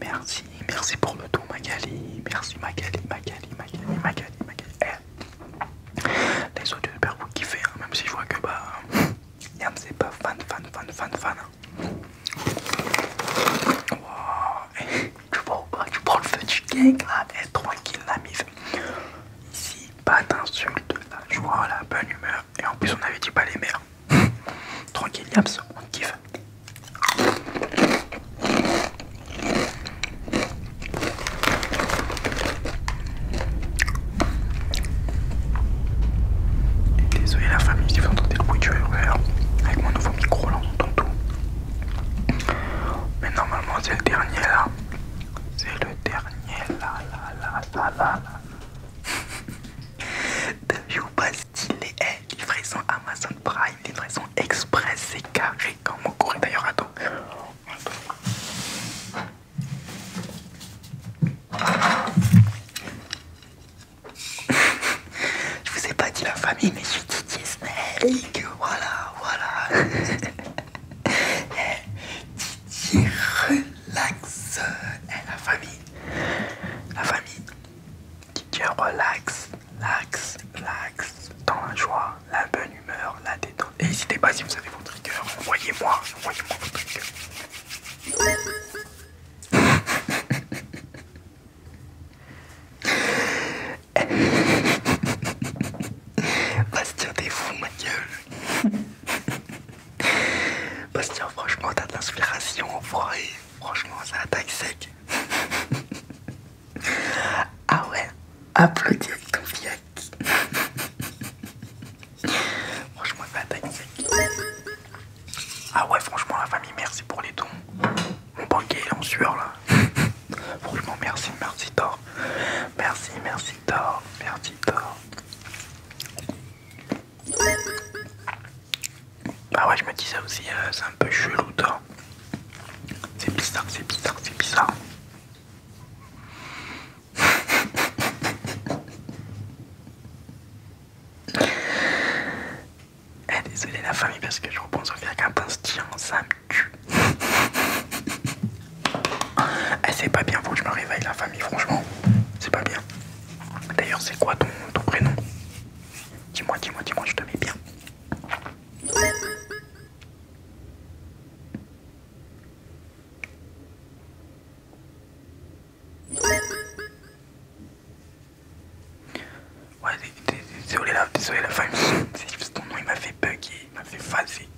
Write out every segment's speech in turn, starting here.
Merci, merci pour le tout Magali, merci Magali, Magali, Magali, Magali, Magali. Eh, les autres super vous kiffez, hein, même si je vois que bah, Yams c'est pas fan, fan, fan, fan, fan. Hein. tu, prends le feu du gang là, et eh, tranquille la mise. Ici, pas d'insultes, Je vois la bonne humeur, et en plus on avait dit pas les mères. Tranquille Yams, on kiffe désolé la famille si vous entendez le bruit du RER. Avec mon nouveau micro là on entend tout. Mais normalement c'est le dernier là. C'est le dernier là là là là là là. T'as pas stylé eh, Livraison Amazon Prime, livraison express, c'est carré comme mon courrier d'ailleurs attends je vous ai pas dit la famille, mais je suis Didier Voilà, voilà. Didier eh, relax. Eh, la famille. La famille. Didier relax l'axe, l'axe, dans la joie, la bonne humeur, la détente. n'hésitez pas si vous avez votre triggers, envoyez-moi, envoyez-moi votre triggers. Bastien, t'es fou, ma gueule. Bastien, franchement, t'as de l'inspiration, enfoiré. Franchement, ça attaque sec. Ah ouais, applaudis avec ton fiac. franchement, pas Ah ouais, franchement, la famille, merci pour les dons. Mon banquet est en sueur là. franchement, merci, merci Thor. Merci, merci Thor, merci Thor. Ah ouais, je me dis ça aussi, euh, c'est un peu chelou Thor. C'est bizarre, c'est bizarre, c'est bizarre. eh, désolé la famille parce que je repense au fait qu'un ça me tue. Eh, c'est pas bien, faut que je me réveille la famille, franchement. C'est pas bien. D'ailleurs, c'est quoi ton, ton prénom Dis-moi, dis-moi, dis-moi, je te mets bien. Ouais, désolé la, désolé la famille, c'est ton nom, il m'a fait bugger, il m'a fait phaser.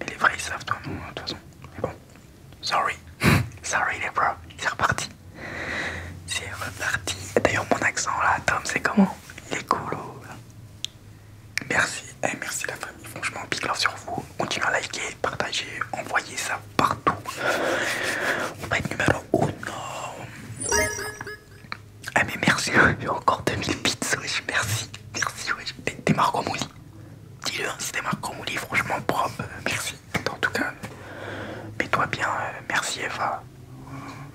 Mais les vrais savent ton nom de toute façon. Mais bon, sorry, sorry les bros, c'est reparti. C'est reparti. D'ailleurs, mon accent là, Tom, c'est comment Il est cool. Oh, merci, eh, merci la famille. Franchement, big love sur vous. Continuez à liker, partager, envoyer ça partout. On va être numéro 1. Ah, eh, mais merci, hein. j'ai encore 2000 pizzas wesh. Merci, merci, wesh. T'es Marco Mouli. Dis-le, hein, si t'es Marco Mouli, franchement propre. Euh, merci. En tout cas, mets-toi bien. Euh, merci, Eva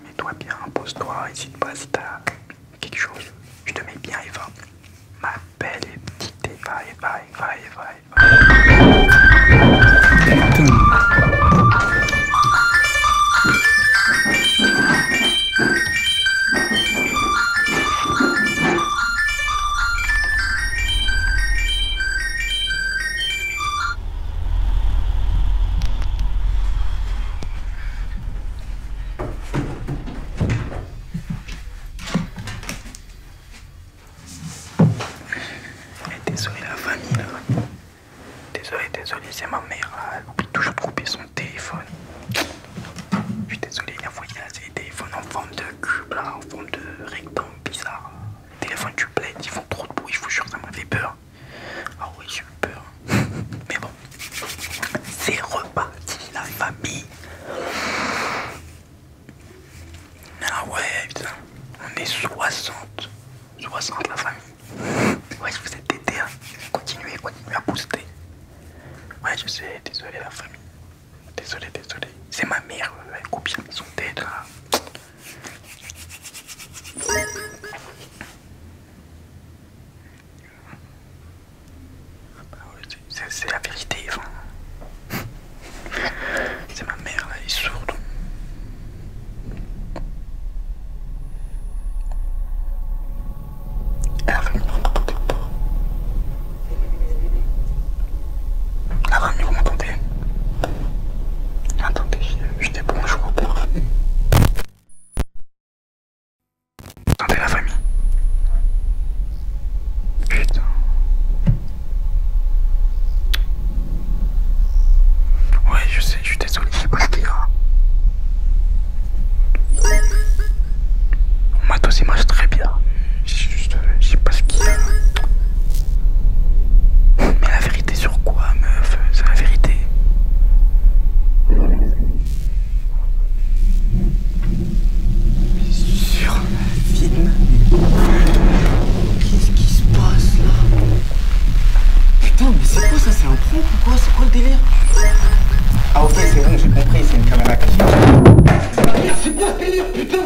mets toi bien, pose toi hésite pas si t'as quelque chose. Je te mets bien Eva. Ma belle et petite Eva, Eva, Eva, Eva, Désolé la famille là. Désolé, désolé, c'est ma mère Elle oublie toujours de couper son téléphone. Je suis désolé, il a téléphones en forme de cube là, en forme de rectangle bizarre téléphone du bled, ils font trop de bruit, je vous jure, ça m'avait fait peur. Ah oui, j'ai eu peur. Mais bon, c'est reparti la famille. Ah ouais, putain, on est 60. 60 la famille. Ouais, je vous ai déter, hein. continuez, continuez à booster. Ouais, je sais, désolé la famille. Désolé, désolé. C'est ma mère, euh, elle coupe bien son tête là. Bah c'est la vérité, c'est ma mère là, elle est sourde. Ah, la ah, famille, vous m'entendez Attendez, je bonjour au père. Attendez la famille. Putain. Ouais, je sais, je suis désolé, c'est pas ce le a. Mon matos il marche très bien juste, euh, je sais pas ce qu'il y a. Mais la vérité sur quoi, meuf C'est la vérité. Mais sur la film Qu'est-ce qui se passe là Putain, mais c'est quoi ça C'est un prank ou quoi C'est quoi le délire Ah ok, c'est bon, j'ai compris, c'est une caméra cachée. C'est quoi le délire, putain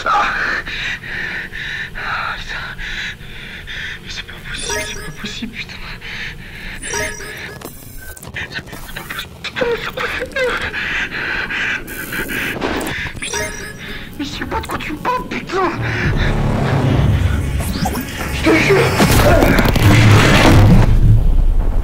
Putain. Mais c'est pas possible, c'est pas possible, putain. C'est pas beaucoup de plus. c'est quoi cette merde Putain. Mais c'est pas de quoi tu parles, putain Je te jure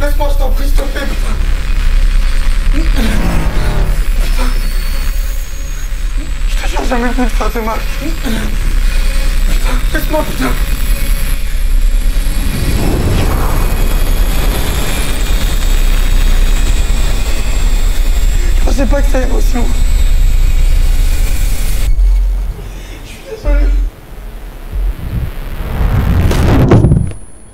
Laisse-moi, je t'en prie, s'il te plaît, putain. Je te jure, jamais vu de faire de mal. Laisse-moi, putain. Je pensais pas que ça émotion. Je suis désolé.